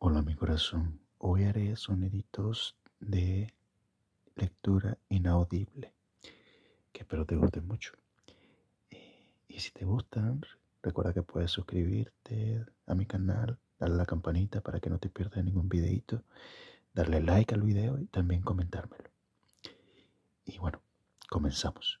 Hola mi corazón, hoy haré sonidos de lectura inaudible, que espero te gusten mucho. Eh, y si te gustan, recuerda que puedes suscribirte a mi canal, darle la campanita para que no te pierdas ningún videito, darle like al video y también comentármelo. Y bueno, comenzamos.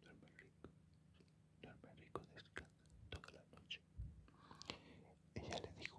Duerme rico, duerme rico, descansa toda la noche. Ella le dijo,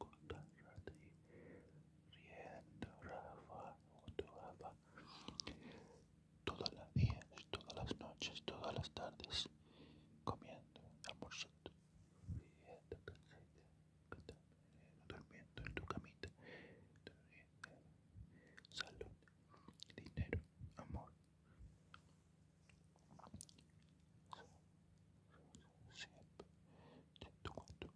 encontrarte riendo, Rafa, Rafa, días, todas las noches, todas las tardes, comiendo, almorzando, riendo, durmiendo en tu camita, salud, dinero, amor. tu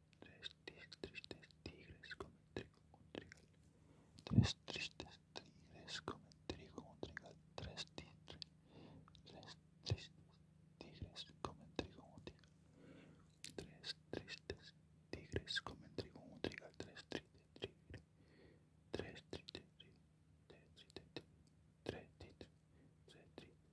Tres tristes tigres comen trigo un trigal. Tres tristes tigres comen trigo Tres tigres. Tres tristes tigres comen trigo Tres tristes tigres comen Tres Tres Tres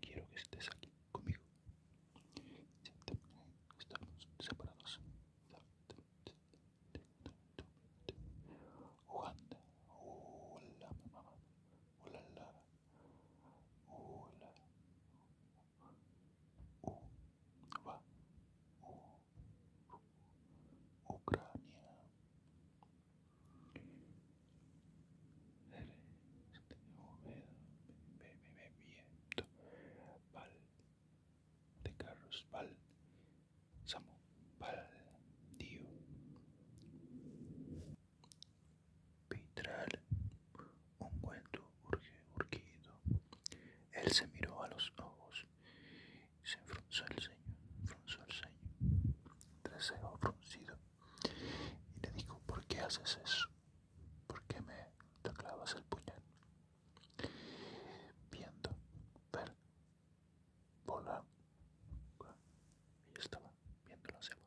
quiero que estés aquí conmigo. Estamos separados. hola mamá, hola Ucrania, el Val de Carros, Val, Samu, Dio, Pitral, cuento urgido. Él se miró a los ojos y se enfronzó el ceño, enfronzó el ceño, trasejo fruncido. Y le dijo, ¿por qué haces eso? ¿Por qué me clavas el puñal? Viendo, ver, volar. Yo estaba viéndolo hacia abajo.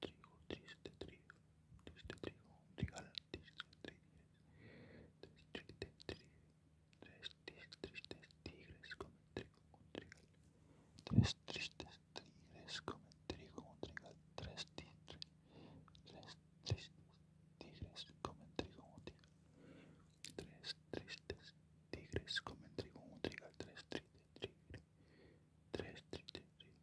trigo, triste trigo, triste trigo, triste trigo, tristes tigres comen trigo trigal, tristes tigres comen trigo trigal, tres tristes tigres trigo tres tristes tigres trigo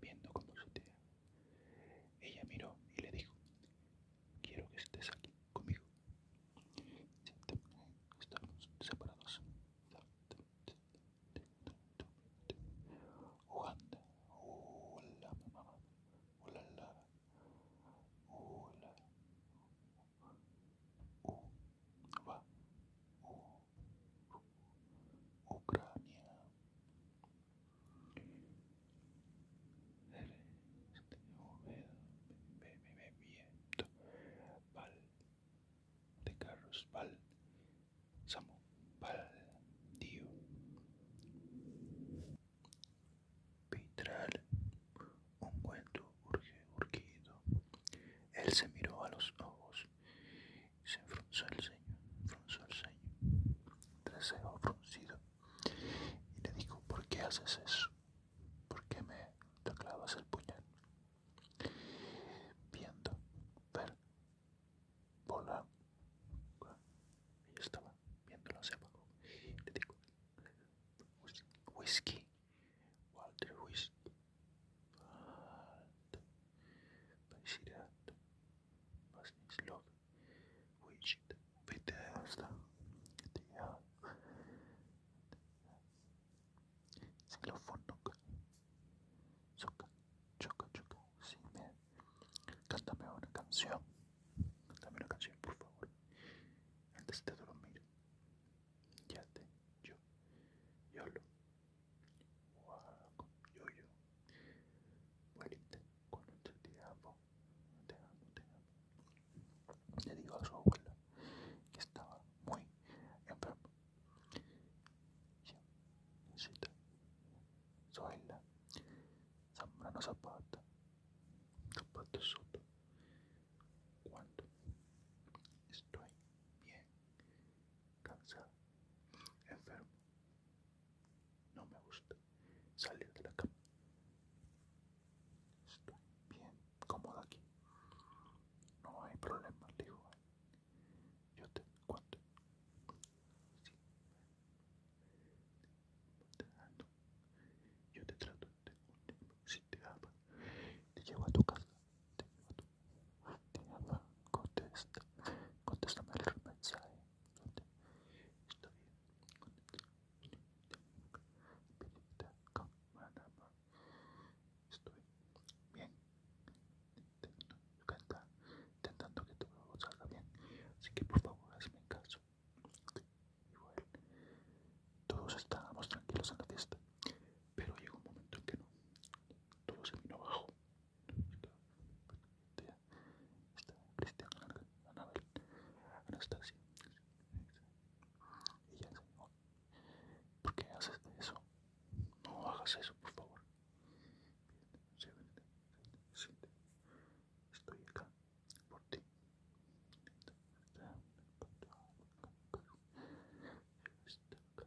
Viendo cómo te Ella miró y le dijo, quiero que estés aquí conmigo. Estamos separados. Hola Hola Hola. Ucrania, Celeste, Oveda, Bebimiento, Val, de Carlos, Val, Samu, Val, Dio, Pitral, un cuento urge, Urquido Él se miró a los ojos se enfronzó el ceño, enfronzó el ceño, trasero fruncido, y le dijo, ¿por qué haces eso? ¿Por qué me te clavas el puñal? Viendo, ver, volar, yo estaba viéndolo hacia abajo, le digo, whisky, Walter Whisky, but by Sirat was his love, which Bethesda they have Xylophonok choca, choca, choca, sí, me cántame una canción, cántame una canción por favor, antes de dormir, ya te, yo, yo lo Mojada yo yoyo. Muerita con otro te amo. Te amo, te amo. Le digo a su abuela que estaba muy enfermo. Yo necesito soy la Zambrano Zapata. zapato Soto. Cuando estoy bien cansado, enfermo. No me gusta salir de la cama. Estoy bien cómodo aquí. No hay problema, digo. Yo te cuento. Yo te trato, te, si te ama, te llevo a tu casa, te contesta, contéstame el mensaje, está bien, estoy bien, intentando que todo salga bien, así que por favor hazme caso, igual, todos estábamos tranquilos en la fiesta, pero llega un momento en que no, todo se vino abajo. Está, está Cristian Anabel, Anastasia, y ya ¿por qué haces eso? No hagas eso, por favor. Estoy acá por ti.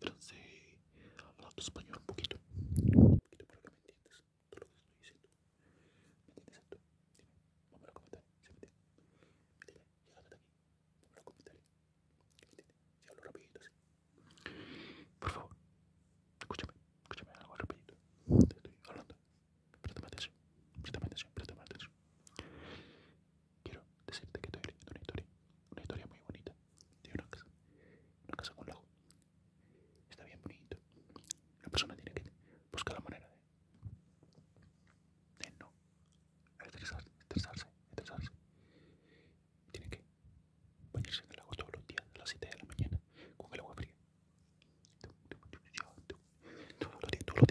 francés hablando español un poquito. Un poquito para que me entiendas todo lo que estoy diciendo. ¿Me entiendes esto? Dime, vamos a comentar. ¿Se mete? Métele, llegate de aquí. Vamos a comentar. ¿Me entiendes? Si hablo rapidito, sí. Por favor, escúchame, escúchame algo rapidito. Te estoy hablando. Préstame atención, préstame atención, atención quiero decirte que estoy leyendo una historia, una historia muy bonita de una casa, una casa con lago. Está bien bonito. La persona tiene que buscar la manera de, de no estresarse, estresarse, estresarse. Tiene que bañarse en el lago todos los días a las 7 de la mañana con el agua fría. Todos los días, todos los días, todos los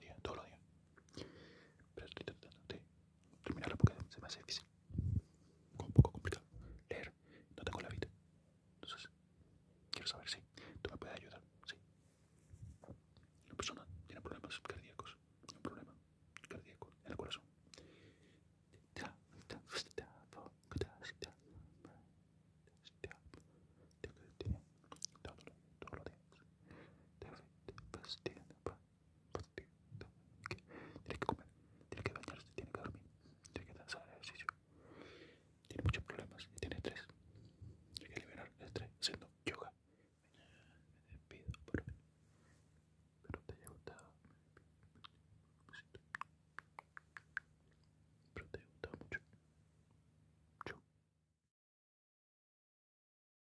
días, todos los días. Pero terminarla porque se me hace difícil, un poco complicado leer, no tengo la vida, entonces quiero saber si tú me puedes ayudar, sí. Una persona tiene problemas cardíacos, un problema cardíaco en el corazón. Tiene que comer, tiene que bañarse, tiene que dormir, tiene que hacer ejercicio. Tiene muchos problemas y tiene estrés. Tiene que liberar el estrés haciendo yoga. Me despido por hoy. Espero te haya gustado. Espero te haya gustado mucho. Chau.